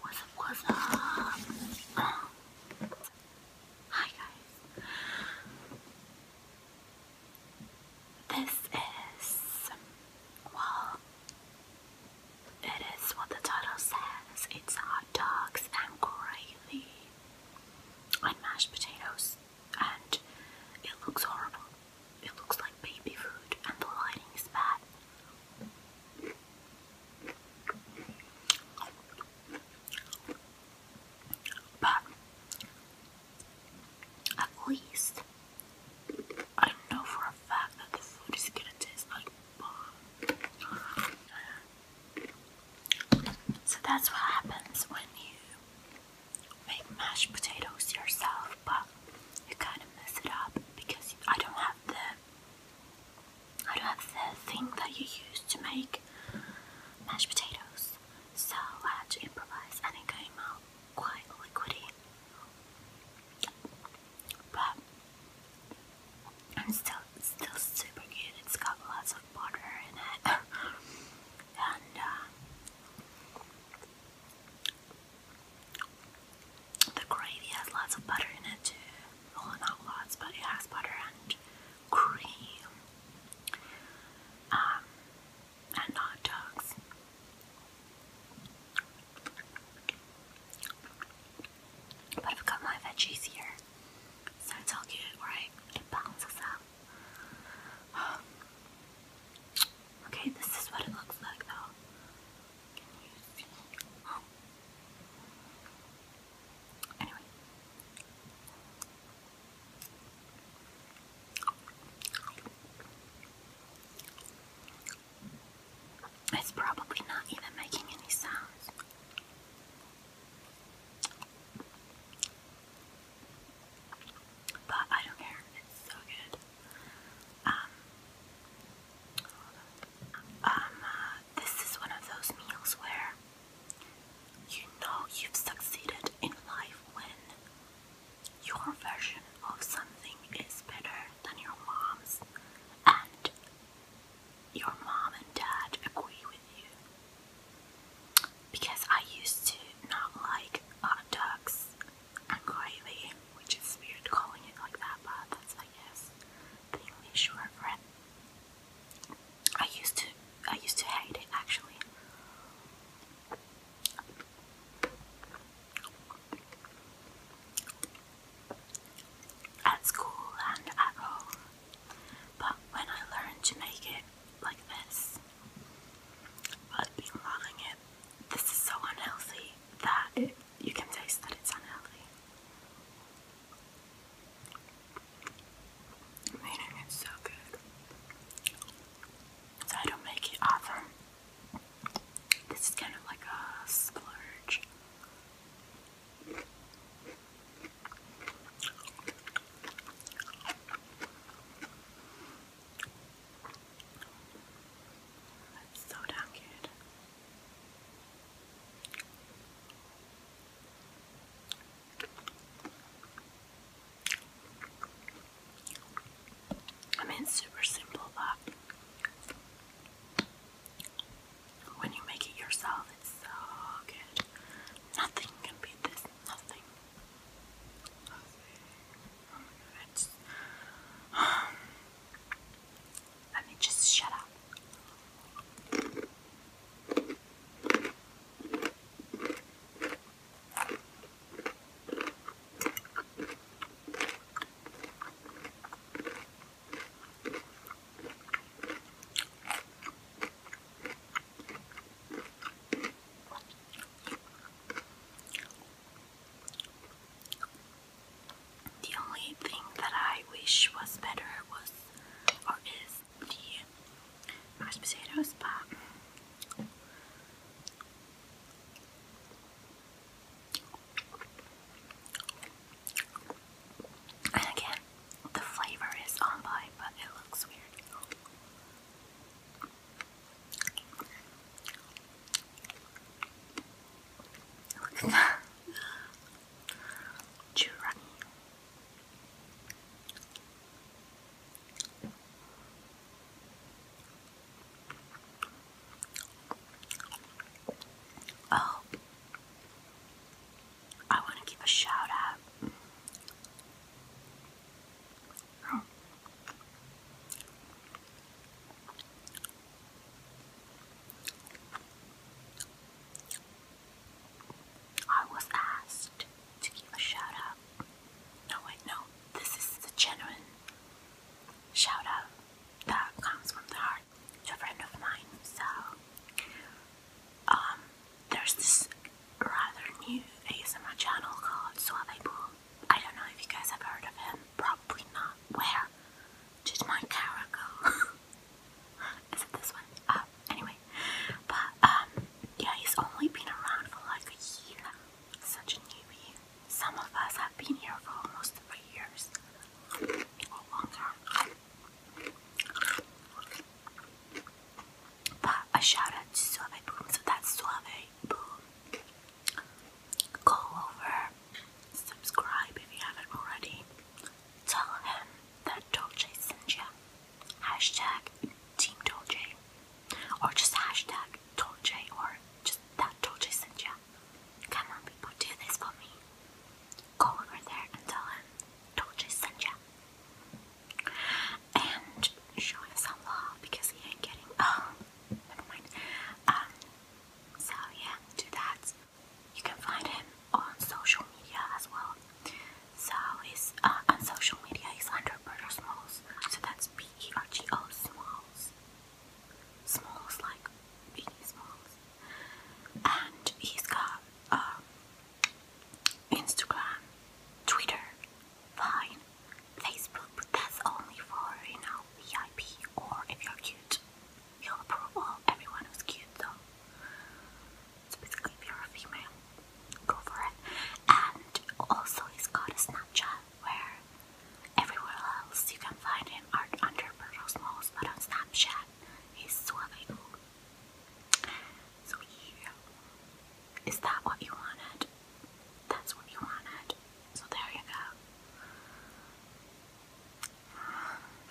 What's up, what's up? Hi guys. This is, well, it is what the title says. It's hot dogs and gravy and mashed potatoes and it looks horrible. It looks like baby food and the lighting is bad but at least I know for a fact that the food is gonna taste like bomb. So that's what happens when you make mashed potatoes yourself but you kind of mess it up because I don't have the I don't have the thing that you use to make mashed potatoes, so I had to improvise, and it came out quite liquidy. But I'm still still super good. It's got lots of butter in it, and uh, the gravy has lots of butter in it too. Well, not lots, but it has butter and cream. Um, and hot dogs. But I've got my veggies here, so it's all good, right? balances out. okay, this is what it looks like though. Anyway. It's probably not even making any sounds. But I don't care, it's so good. Um, um this is one of those meals where you know you've succeeded in life when your version of something is better than your mom's, and your mom and dad agree with you. Because I used to not like hot dogs Unquietly, which is weird calling it like that, but that's, I guess, the English word for it. I used to, I used to hate it actually. At school and at home, but when I learned to make it like this, I've been loving this is so unhealthy that you can taste that it's unhealthy. Meaning it's so good. So I don't make it often. This is kind of like a splurge. That's so damn good. I mean, it's super simple, but when you make it yourself, it's so good. Nothing can beat this. Nothing. It's, um, let me just shut up. The only thing that I wish was better was or is the mashed potatoes, but and again, the flavor is on by, but it looks weird. Look at that. Giraffe. Oh, I want to give a shout out I was asked to give a shout out. No, wait, no. This is the genuine shout out that comes from the heart a friend of mine. So, um, there's this rather new ASMR channel called Suave Boom. I don't know if you guys have heard of him, probably not. Where? Did my camera go? Is it this one? Uh, anyway, but um, yeah, he's only been around for like a year. Such a newbie. Some of us have been here for almost three years or longer. But a shout out to Suave Boom. So that's Suave Boom. Go over, subscribe if you haven't already. Tell him that Dolce sent you. Hashtag Team Dolce. Or just hashtag Dolce or just that Dolce sent you. Come on, people, do this for me. Go over there and tell him Dolce sent you and showing him some love because he ain't getting. Oh, never mind. Um, so yeah, do You can find him on social media as well. So he's uh, on social media. He's under Berger Smalls. So that's B E R G O Smalls. Smalls like Smalls. And he's got um, Instagram, Twitter, Vine, Facebook, but that's only for you know VIP or if you're cute. You'll everyone who's cute though. So basically if you're a female, go for it. And also he's got a Snapchat where everywhere else you can find him are under Bertles Moss, but on Snapchat he's suave so yeah, is that what you wanted? That's what you wanted. So there you go.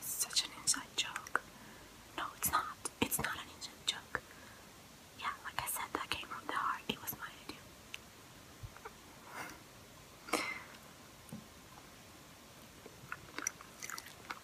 such an inside joke. No, it's not. It's not an inside joke. Yeah, like I said, that came from the heart. It was my idea.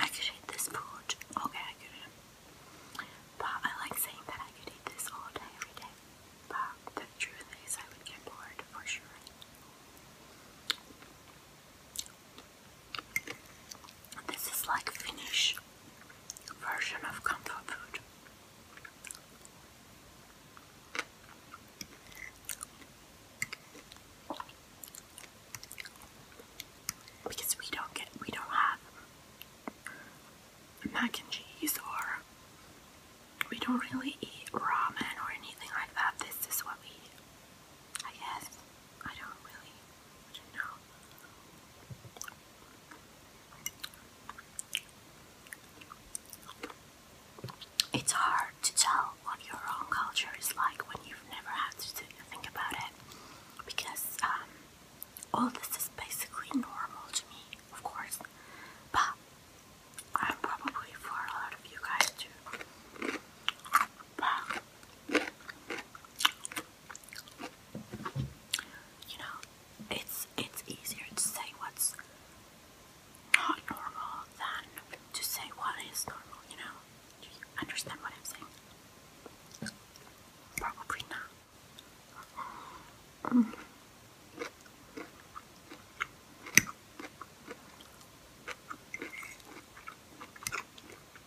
I could eat this food. Okay, I could But I like saying that I could eat this all day, every day. But the truth is, I would get bored for sure. This is like Finnish version of comfort food. Because we don't get we don't have mac and cheese or we don't really eat ramen or anything like that. This is what we eat. I guess. I don't really know. It's hard to tell what your own culture is like when you've never had to think about it because um, all this is basically normal to me, of course, but I'm probably for a of you guys too. But you know, it's it's easier to say what's not normal than to say what is normal, you know? understand what I'm saying? Probably not.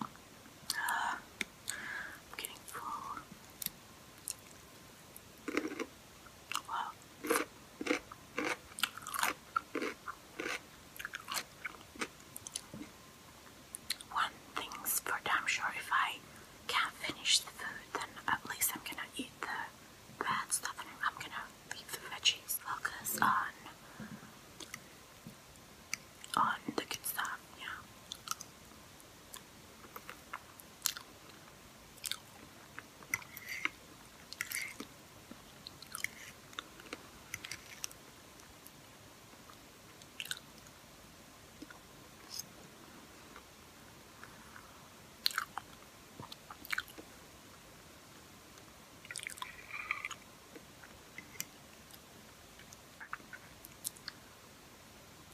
I'm getting full. One thing's for damn sure if I can't finish the food, then at least I'm gonna eat the bad stuff and I'm gonna leave the veggies. Focus on on the good stuff, yeah.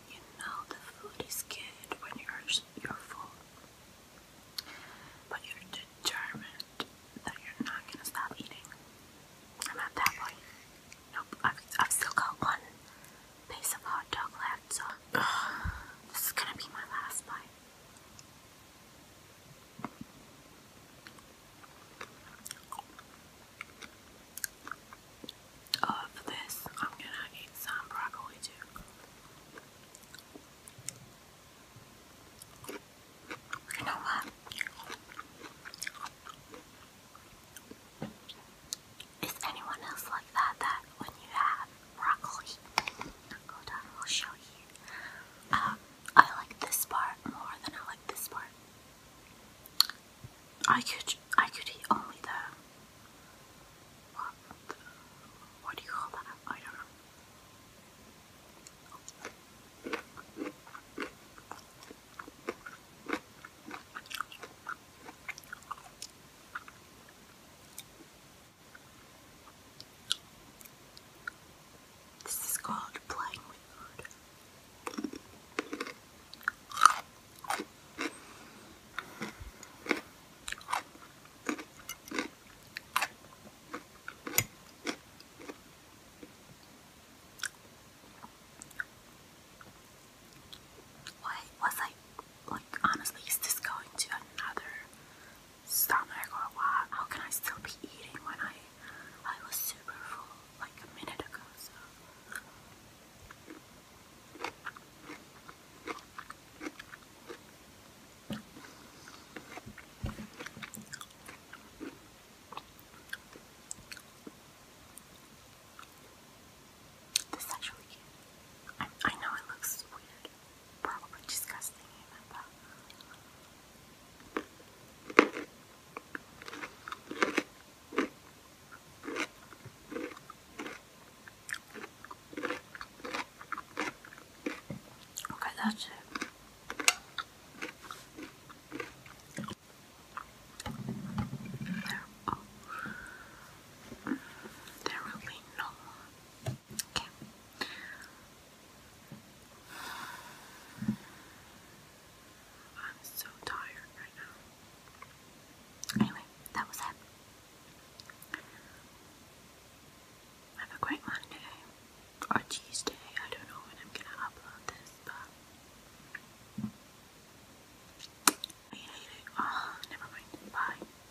You know the food is good when you're you're full, but you're determined that you're not gonna stop eating. I'm at that point. Nope, I've, I've still got one piece of hot dog left, so this is gonna be my last bite. Uh, this, I'm gonna eat some broccoli too. You know what? Is anyone else like that? That when you have broccoli, hold on, I'll show you. I like this part more than I like this part. I could, I could eat only the. What, what do you call that? I don't know. This is called playing with food. was I like honestly is this going to another Stop stomach or what? How can I still be eating when I I was super full like a minute ago? So. This actually cute. I know it looks weird, probably disgusting okay, that's it. There, oh. there will be no more. Okay. I'm so tired right now. Anyway, that was it. Have a great Monday or Tuesday. I don't know when I'm gonna upload this, but I hate it. Oh, never mind. Bye.